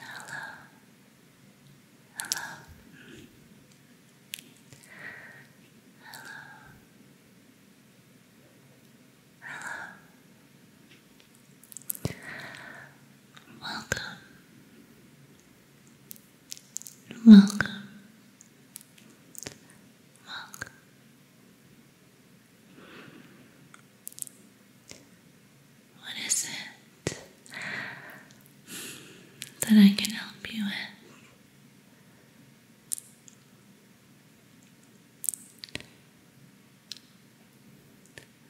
Hello. Hello. Hello. Hello. Welcome. Welcome. Welcome. What is it that I can help you with?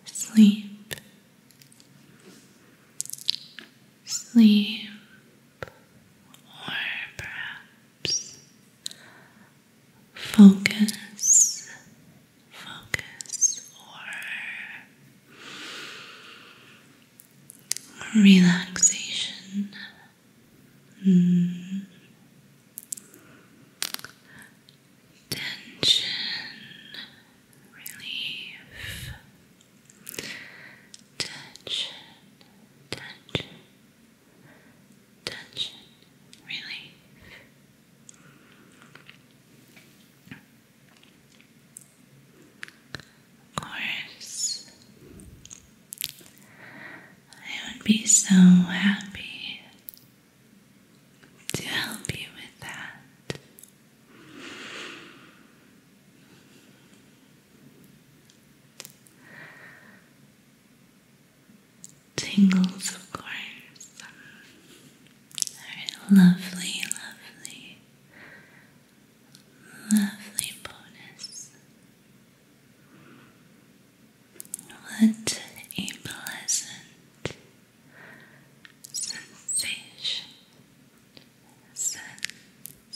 Sleep, sleep, or perhaps focus, focus, or relaxation. Hmm. Tension, relief, tension, tension, tension relief. Of course, I would be so happy to help you with that tingles, of course. lovely, lovely, lovely bonus. What a pleasant sensation.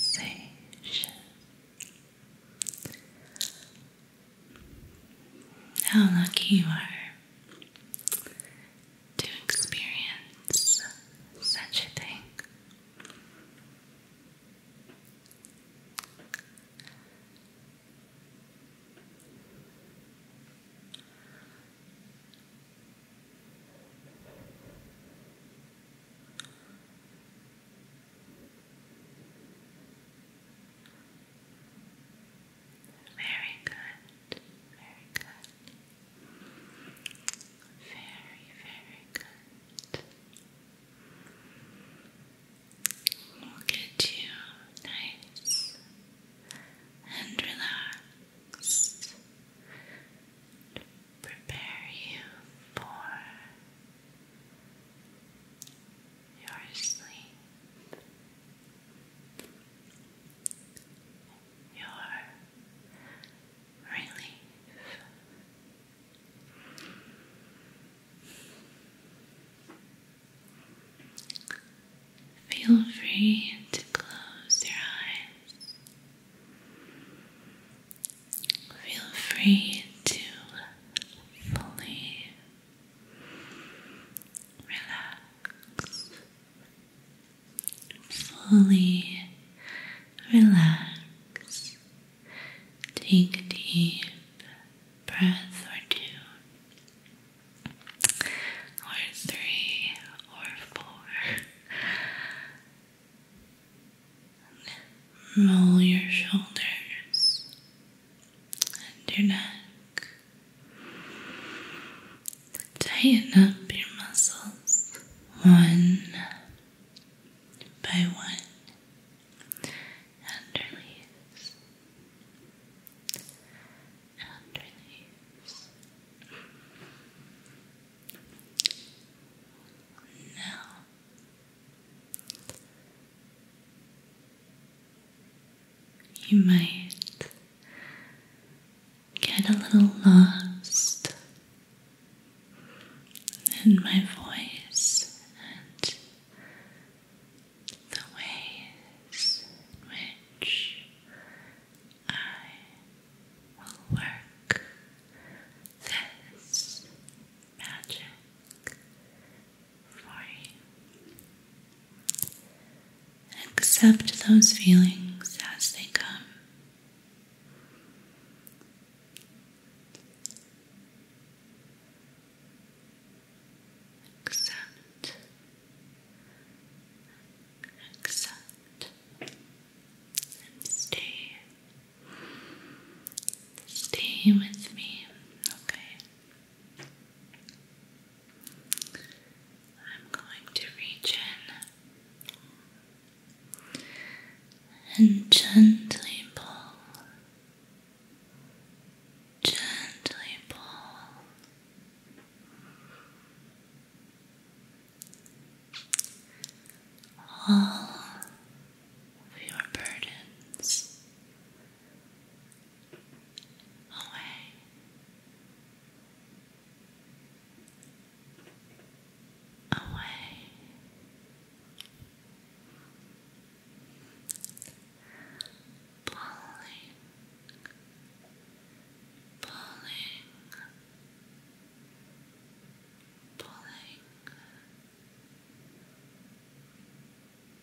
Sensation. How lucky you are to experience such a thing. Very good, very good. Very, very good. We'll get you nice and relaxed. Prepare you for you're asleep. Your relief. Feel free to close your eyes. Feel free to fully Relax. Fully relax. Take a deep breath or two, or three, or four. Roll your shoulders and your neck. Tighten up your muscles one by one and release Now you might get a little lost in my voice and the ways in which I will work this magic for you. accept those feelings as they come. Accept. Accept. stay. Stay with me, okay? I'm going to reach in and gently pull, gently pull. All of your burdens away. Away. Pulling. Pulling. Pulling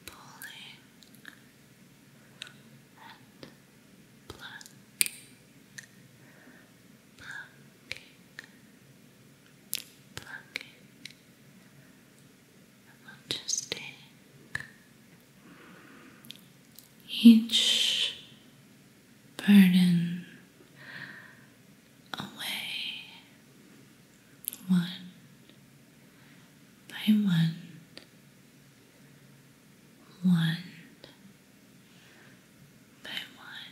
pulling and plucking, plucking, plucking. And we just take each burden away one by one, one by one,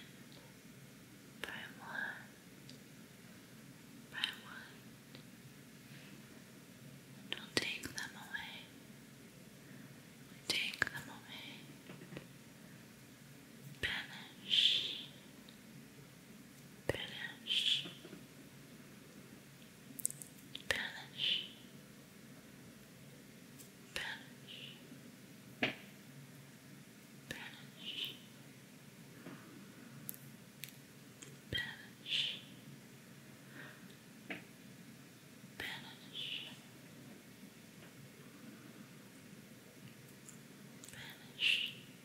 by one, by one, and we take them away. take them away. Banish, Banish. Banish. Banish. Banish. Banish. Banish.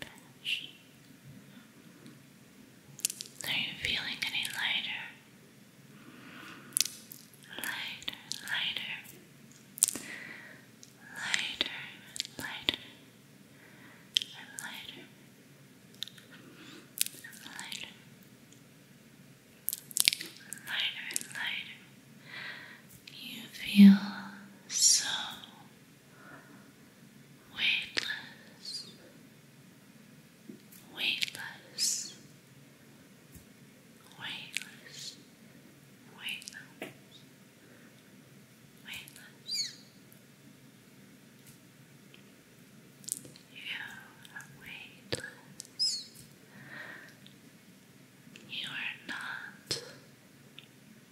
Bench. Are you feeling any lighter? Lighter, lighter, lighter, lighter, and lighter, and lighter, and lighter, and lighter. You feel so weightless, weightless, weightless, weightless, weightless. You are weightless. You are not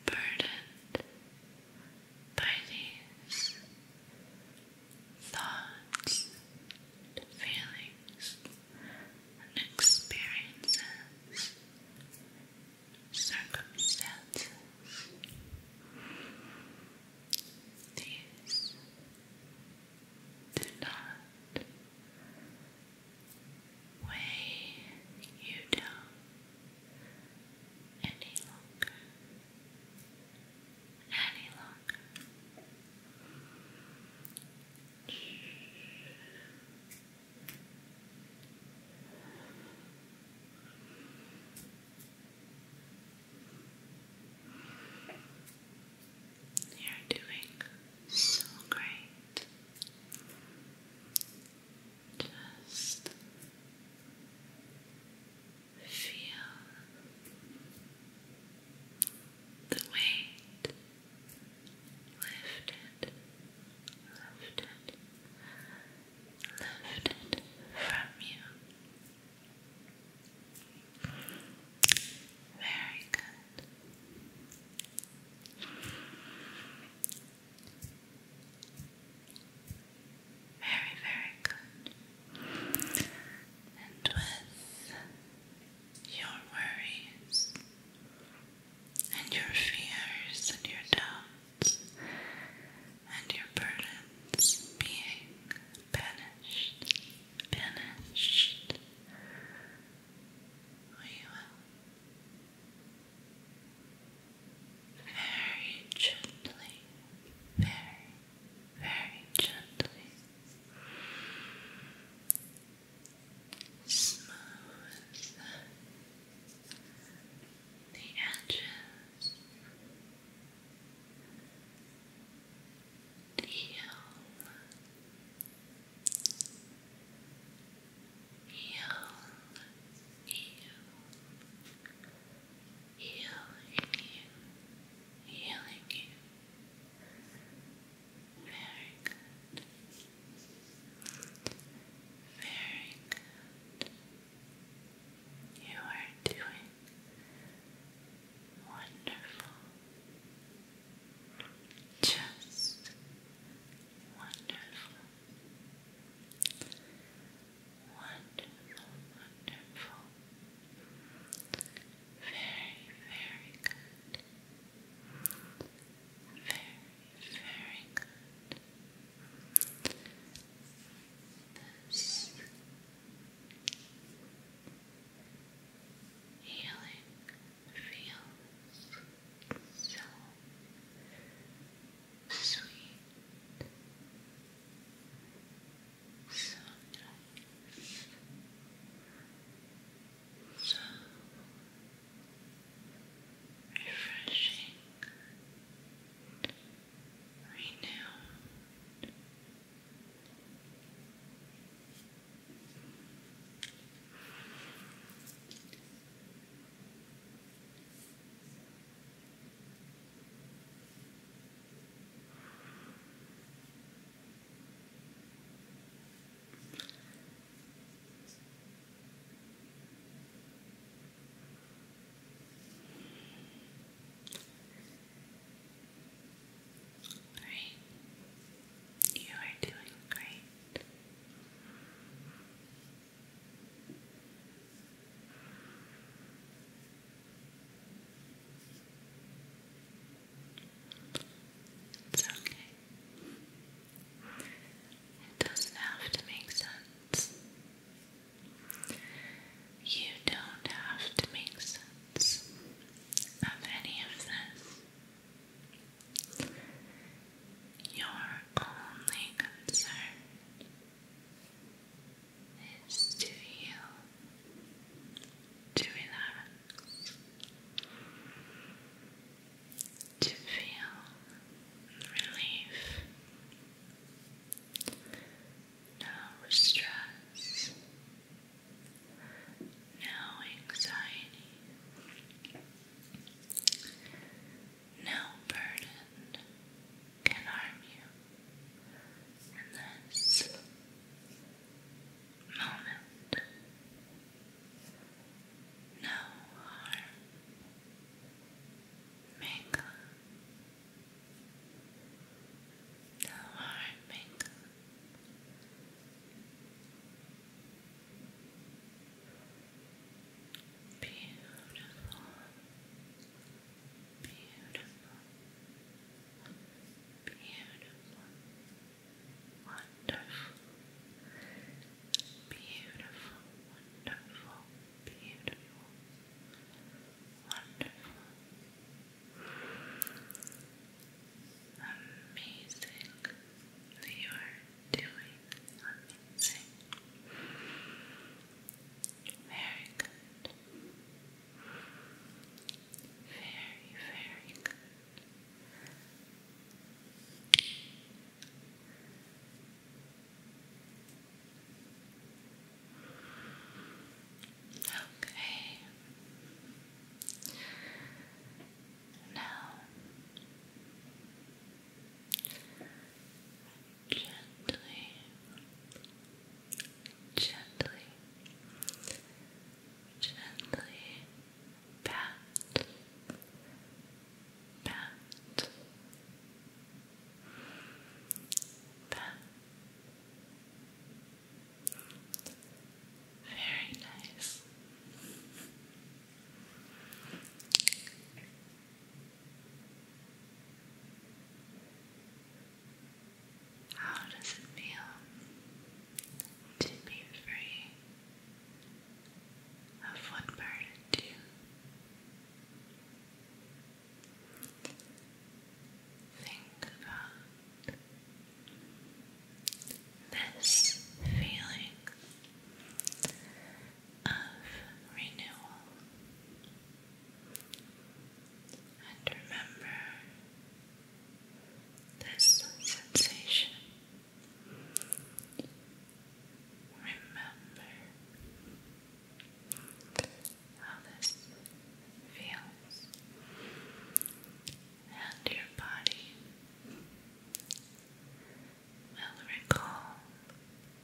burdened by these thoughts feelings and experiences, circumstances. These do not weigh you down any longer, any longer. You're doing so great. Just feel the weight lifted, lifted, lifted from you. Very good. Very, very good. And with your worries and your fears and your doubts and your burdens being banished, banished, we will very gently, very, very gently. Smooth the edges, heal Heal, heal, healing you, healing you. Very good. Very good. You are doing wonderful. Just wonderful. Wonderful, wonderful. Very, very good. Very, very This healing feels so sweet, so nice, so refreshing, renewed. All right. You are doing great. It's okay. It doesn't have to make sense. You don't have to make sense of any of this. Your only concern is to heal, to relax, to feel relief, no stress, no anxiety. No burden can harm you in this moment. No harm may come. No harm may come. Beautiful. Beautiful. Beautiful. Wonderful. Beautiful. Wonderful. Beautiful. Wonderful. Amazing. You are doing amazing. Very good. Very, very good. Okay. Now, gently, gently, gently pat, pat, pat. Very nice. How does it feel to be free of one burden you? Think about this feeling of renewal. And remember this sensation. Remember how this feels and your body will recall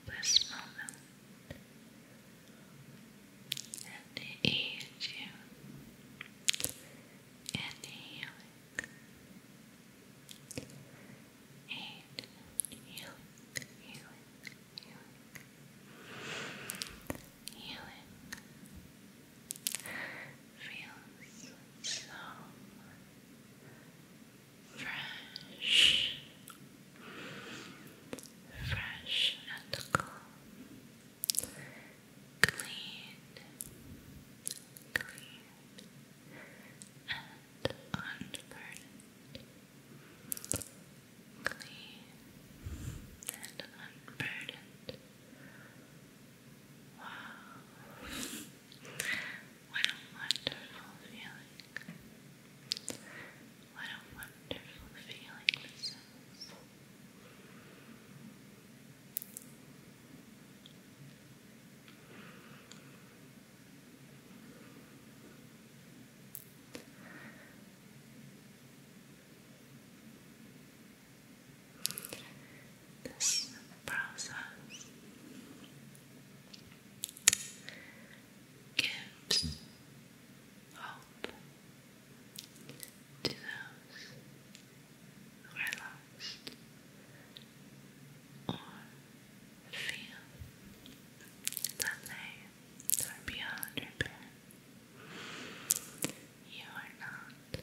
this moment and aid you in healing. Aid, healing, healing, healing, healing feels so fresh, fresh and calm, clean, clean and unburdened, clean and unburdened. Wow. What a wonderful feeling. What a wonderful feeling this is this process gives hope to those who are lost or feel that they are beyond repair. You are not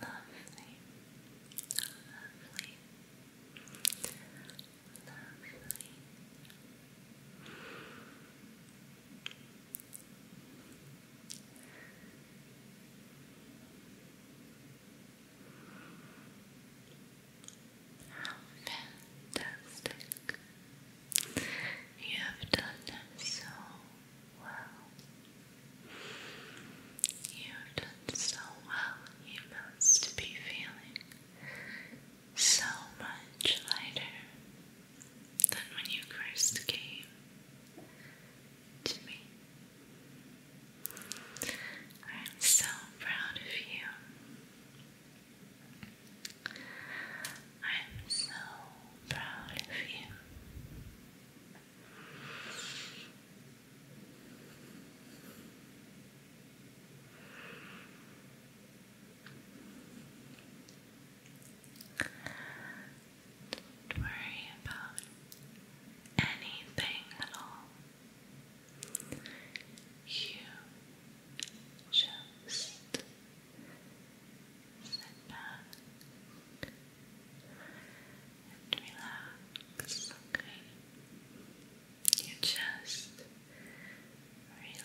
Lovely, lovely, lovely. How fantastic. You have done so well. You have done so well. You must be feeling so much lighter than when you first came to me. I'm so proud of you. I'm so proud of you. Don't worry about anything at all. You just Sit back and relax, okay? You just relax.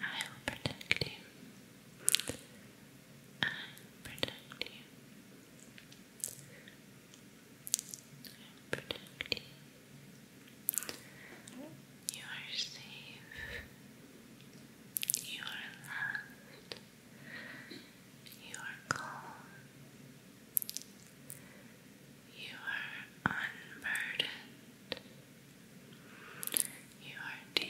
I will protect you. I protect you. I protect you. You are safe. You are loved. You are calm. You are unburdened. You are de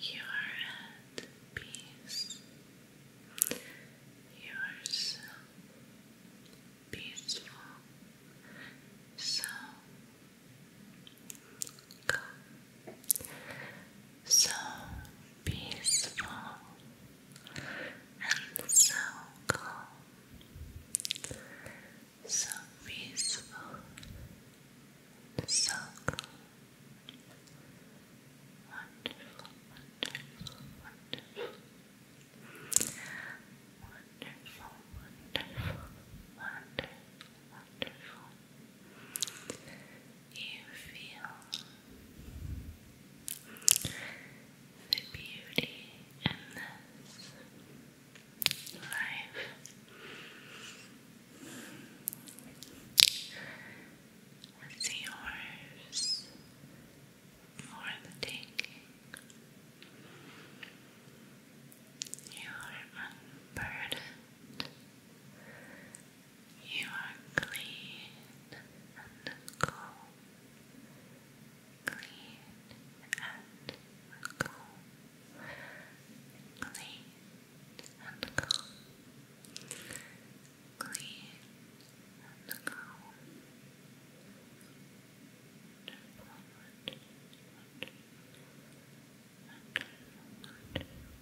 You are at peace. You are so peaceful, so calm, so peaceful and so calm, so peaceful, so calm. Wonderful, wonderful, wonderful. Wonderful, wonderful, wonderful, wonderful. You feel the beauty in this life is yours for the taking. You are unburdened. You are clean and cool clean and calm, clean and calm, clean and calm. And forward, and forward, and forward.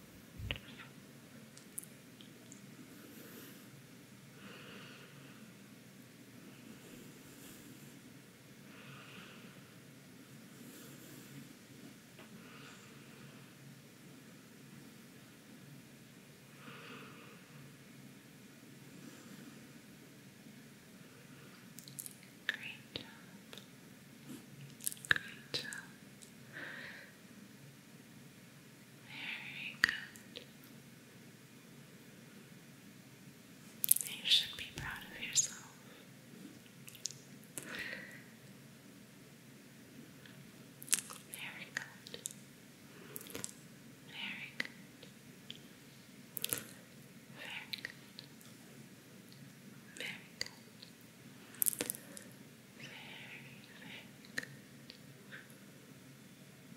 Great job. Great job. Very good. You should be proud of yourself. Very good. Very good. Very good. Very good. Very, good.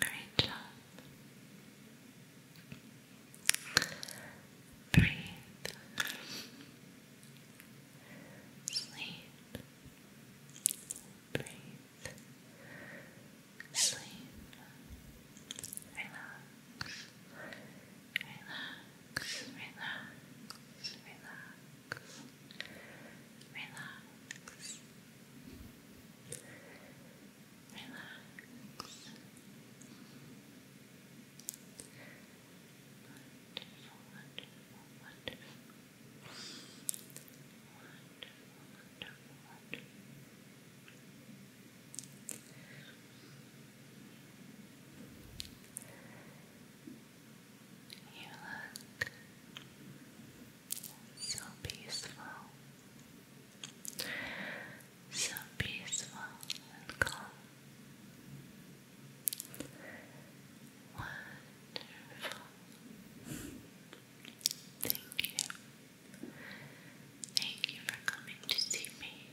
Great job. Breathe. Sleep. Breathe. Sleep. Relax. Relax. Relax. Relax. Relax. Relax. Wonderful, wonderful, wonderful. Wonderful, wonderful, wonderful. You look so peaceful, so peaceful and calm. Wonderful. Thank you. Thank you for coming to see me.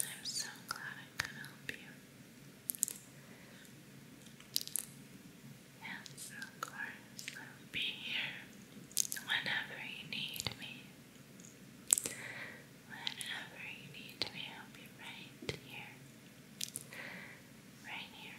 I'm so glad I could help you. And of course, I'll be here whenever you need me. Whenever you need me, I'll be right here. Right here.